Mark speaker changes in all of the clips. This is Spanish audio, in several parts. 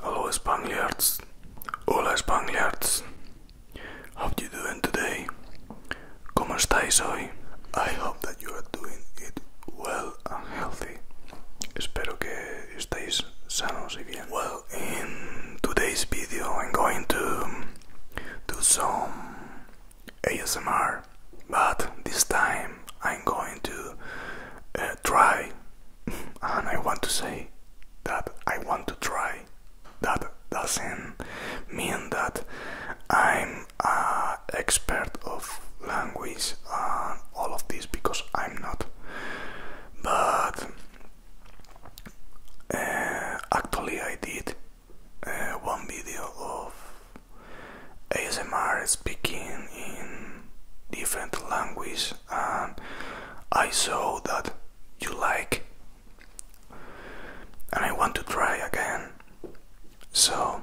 Speaker 1: Hello Spaniards, hello Spaniards, how you doing today? ¿Cómo estáis hoy? I hope that you are doing it well and healthy. Espero que estéis sanos y bien. Well, in today's video I'm going to do some ASMR, but this time I'm going to uh, try and I want to say that I want to try. That doesn't mean that I'm an expert of language and all of this because I'm not. But uh, actually, I did uh, one video of ASMR speaking in different languages um, I saw that you like and I want to try again. So,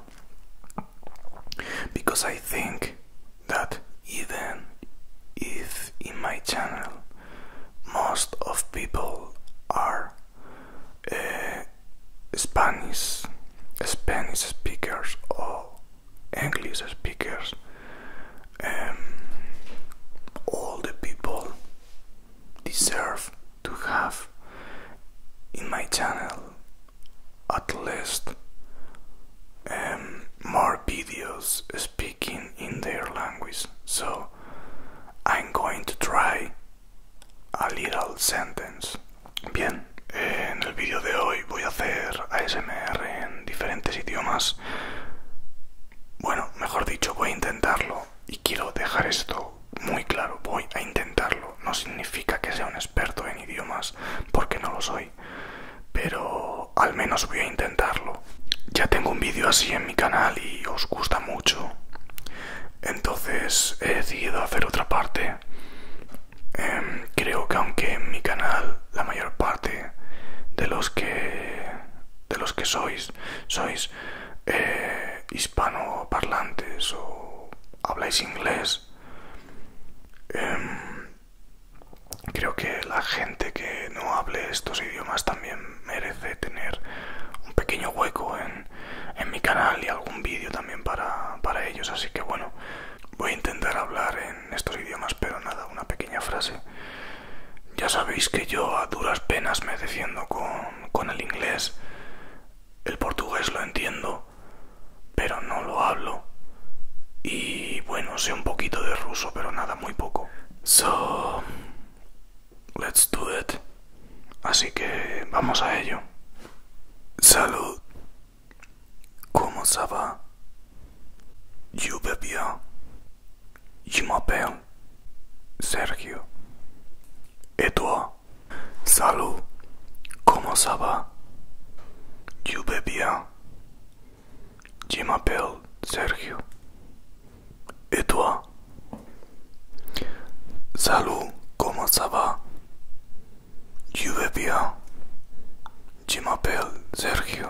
Speaker 1: because I think that even if in my channel most of people are uh, Spanish, Spanish speakers or English speakers, um, all the people deserve to have in my channel at least um, more videos speaking in their language. So I'm going to try a little sentence. Bien. en el vídeo de hoy voy a hacer ASMR en diferentes idiomas. Bueno, mejor dicho, voy a intentarlo y quiero dejar esto muy claro, voy a intentarlo. No significa que sea un experto en idiomas, porque no lo soy, pero al menos voy a intentarlo. Ya tengo un vídeo así en mi canal y os gusta mucho. Entonces he decidido hacer otra parte Em, creo que aunque en mi canal la mayor parte de los que de los que sois sois eh, hispanoparlantes o habláis inglés em, creo que la gente que no hable estos idiomas también merece tener un pequeño hueco en, mi canal y algún vídeo también para, ellos así que bueno voy a intentar hablar estos idiomas, pero nada, una pequeña frase. Ya sabéis que yo a duras penas me defiendo con, con el inglés. El portugués lo entiendo, pero no lo hablo. Y bueno, sé un poquito de ruso, pero nada, muy poco. So, let's do it. Así que vamos a ello. Salud. Comment ça va? Je vais bien. Je m'appelle Sergio. Et ¿Y toi? Salut. Comment ça va? Je vais bien. Je m'appelle Sergio. Et ¿Y toi? Salut. Comment ça va? Je vais bien. Je m'appelle Sergio.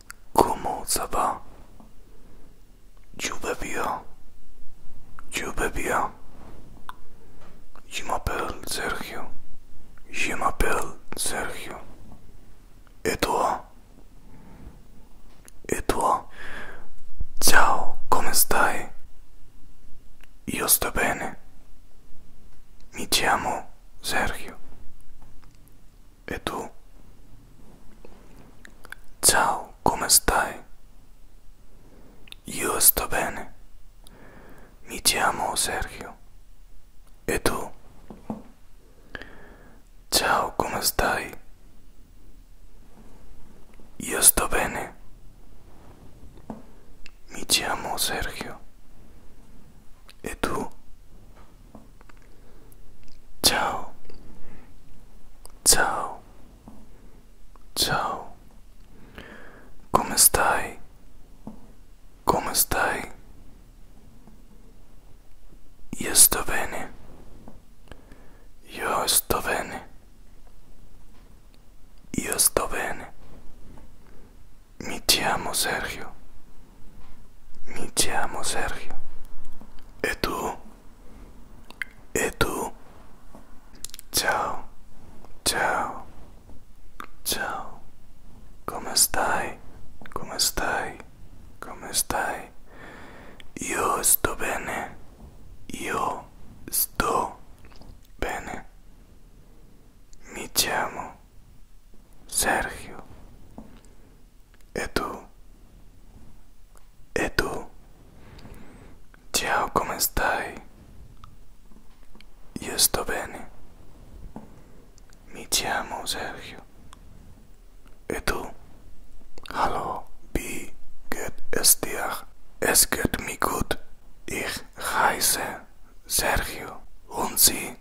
Speaker 1: Comment ça va Je vais bien. Je vais bien. Je m'appelle Sergio. Je m'appelle Sergio. E toi E toi Ciao, come stai? Io sto bene. Mi chiamo Sergio. e Ciao, come stai? Io sto bene. Mi chiamo Sergio. E tu? Ciao, come stai? Io sto bene. Mi chiamo Sergio. E tu? Ciao. Ciao. Ciao. Come stai? Come stai? Io sto bene. Io sto bene. Io sto bene. Mi chiamo Sergio. Mi chiamo Sergio. E tu? E tu? chao, ciao, ciao. Come estás?, Come estás?, Come estás?, yo estoy bene. yo estoy bene. Mi chiamo Sergio. E tu? E tu? Ciao, come stai? Io sto bene. Mi chiamo Sergio. E tu? Hallo, wie geht es dir? Es geht mir gut. Ich heiße Sergio und Sie?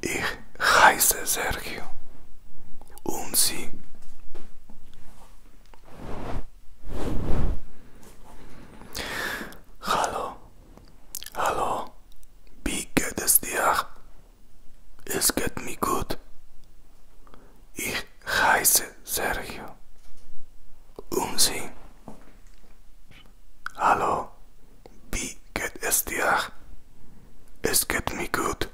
Speaker 1: Ich heiße Sergio. Und Sie? Hallo. Hallo. Wie geht es dir? Es geht mir gut. Ich heiße Sergio. Und Sie? Hallo. Wie geht es dir? Es geht mir gut.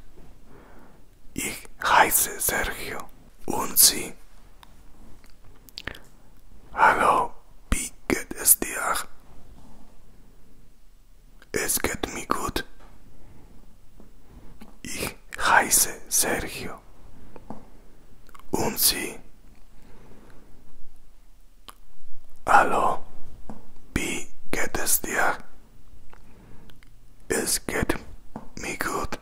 Speaker 1: Ich heiße Sergio. Und Sie? Hallo, wie geht es dir? Es geht mir gut. Ich heiße Sergio. Und Sie? Hallo, wie geht es dir? Es geht mir gut.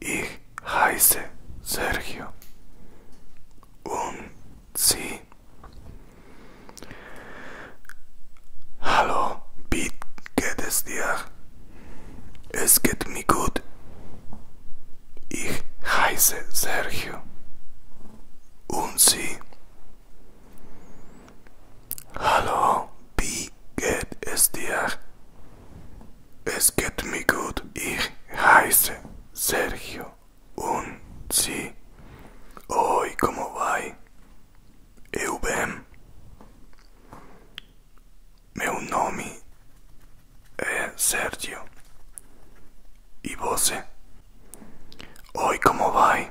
Speaker 1: Ich heiße Sergio. Und Sie? Hallo, wie geht es dir? Es geht mir gut. Ich heiße Sergio. Und Sie? Hallo, wie geht es dir? Es geht mir gut. Ich heiße Sergio. Und sie? Hoy, ¿cómo va? Eu bem. Meu nome é Sergio. E você? Oi, como vai?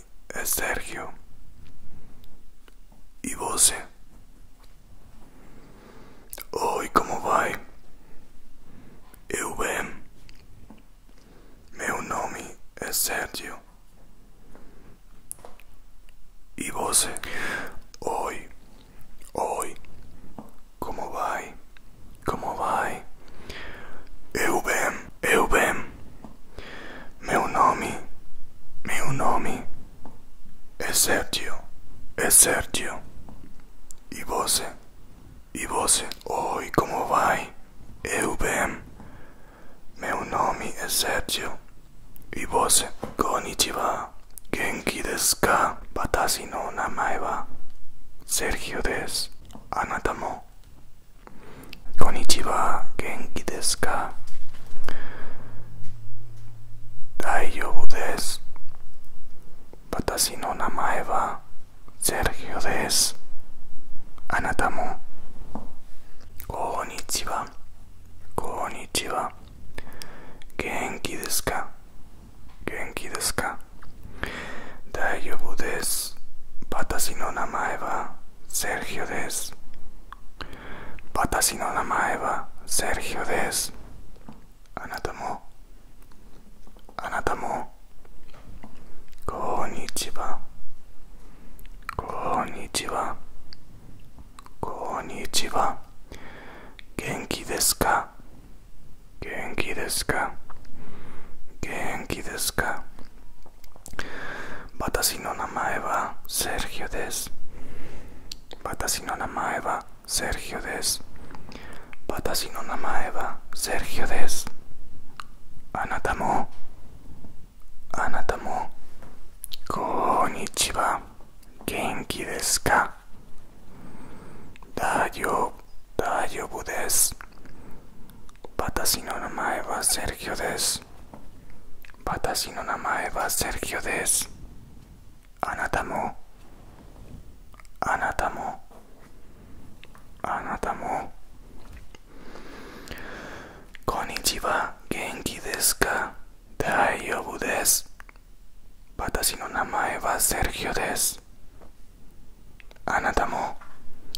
Speaker 1: nome é Sérgio. E você? Oi, como vai? Eu bem. Meu nome é Sérgio. E você? Oi. Oi. Como vai? Como vai? Eu bem. Eu bem. Meu nome, meu nome é Sérgio, é Sérgio. E você? E você? Oi, como vai? Eu bem. Meu nome é Sérgio. E você? Konnichiwa. Genki desu ka? Watashi no namae wa Sergio desu. Anata mo こんにちは、元気ですか大丈夫です。私の名前はセルヒオです。あなたも、こんにちは、こんにちは。元気ですか元気ですか大丈夫です。私の名前はセルヒオです私の名前はセルヒオですあなたもあなたもこんにちはこんにちはこんにちは元気ですか元気ですか元気ですか Batasinona Maeva, Sergio Des. Batasinona Maeva, Sergio Des. Batasinona Maeva, Sergio Des. Anatamo. Anatamo. Konnichiwa. Genki desu ka? Dayo, dayo budes. 私の名前はセルキオです。私の名前はセルキオです。あなたも、あなたも、あなたも。こんにちは、元気ですか大丈夫です。私の名前はセルキオです。あなたも、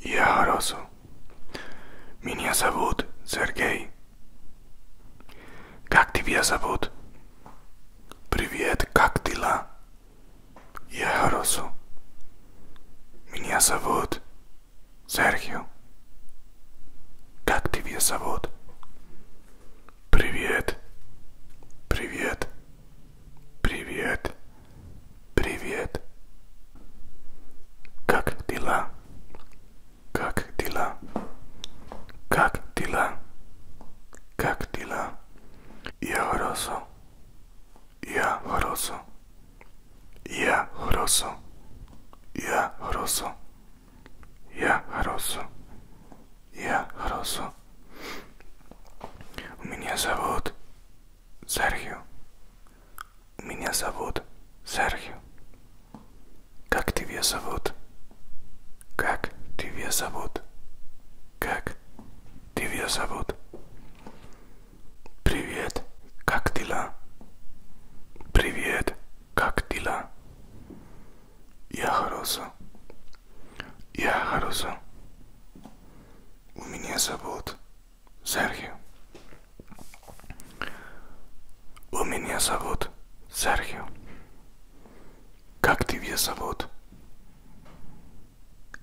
Speaker 1: Я Росу. Меня зовут Сергей. Как тебя зовут? Привет, как дела? Я Росу. Меня зовут Серхио. Как тебя зовут? Привет. Привет. Привет. Привет. Как дела? Как дела? Как дела? Как дела? Я хорошо. Я хорошо. Я хорошо. Я хорошо. Я хорошо. Я хорошо. Меня зовут Серхио. Меня зовут Серхио. Как тебя зовут? Как тебя зовут? Как тебя зовут? Привет, как дела? Привет, как дела? Я хорошо. Я хорошо. У меня зовут Серхио. У меня зовут Серхио. Как тебя зовут?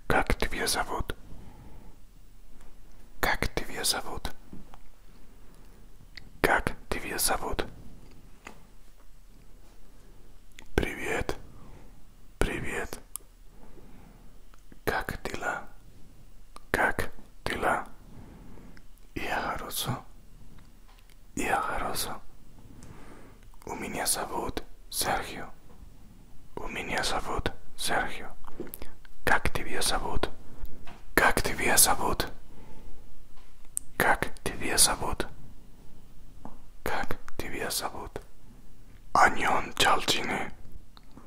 Speaker 1: Как тебя зовут? Как тебя зовут? Как тебя зовут? Привет. Привет. Как дела? Как дела? Я хорошо. Я хорошо. У меня зовут Серхио. У меня зовут Серхио. Как тебя зовут? Как тебя зовут? Как тебя зовут? Как тебя зовут? Аньон Чалчины.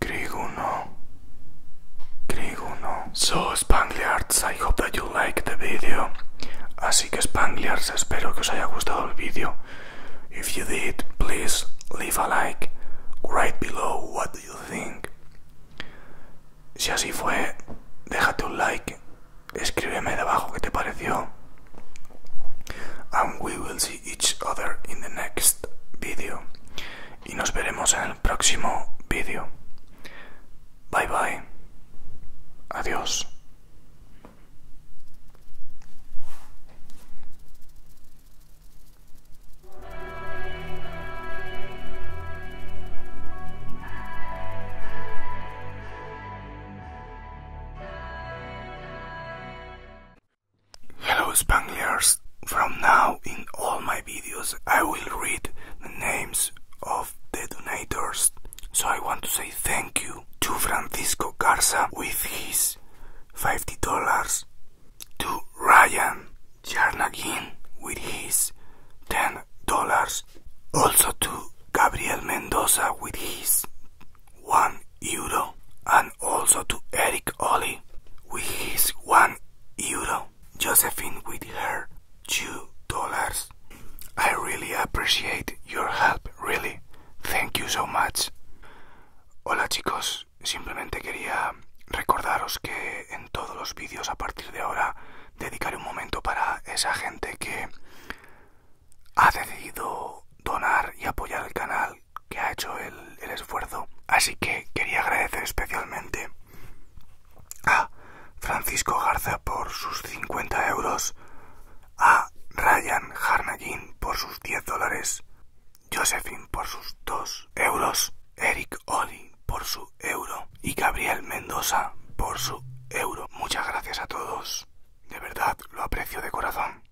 Speaker 1: Griguno. Griguno. So, Spangliards, I hope that you like the video. Así que Spangliards, espero que os haya gustado el vídeo. If you did, please leave a like right below what do you think. Si así fue, déjate un like, escríbeme debajo qué te pareció. And we will see each other in the next video. Y nos veremos en el próximo video. Bye bye. Adiós. Hello Spangliers! From now in all my videos I will read the names of the donators. So I want to say thank you to Francisco Garza with his $50, to Ryan Jarnagin with his $10, also to Gabriel Mendoza with his $1 euro and also to Eric Oli with his one euro, Josephine with her two dollars. I really appreciate your help, really. Thank you so much. Hola chicos, simplemente quería recordaros que en todos los vídeos a partir de ahora dedicaré un momento para esa gente que ha decidido donar y apoyar el canal que ha hecho el, esfuerzo. Así que quería agradecer especialmente a Francisco Garza por sus 50 euros, a Ryan Harnagin por sus 10 dólares, Josephine por sus 2 euros, Eric Oli por su euro y Gabriel Mendoza por su euro. Muchas gracias a todos. De verdad, lo aprecio de corazón.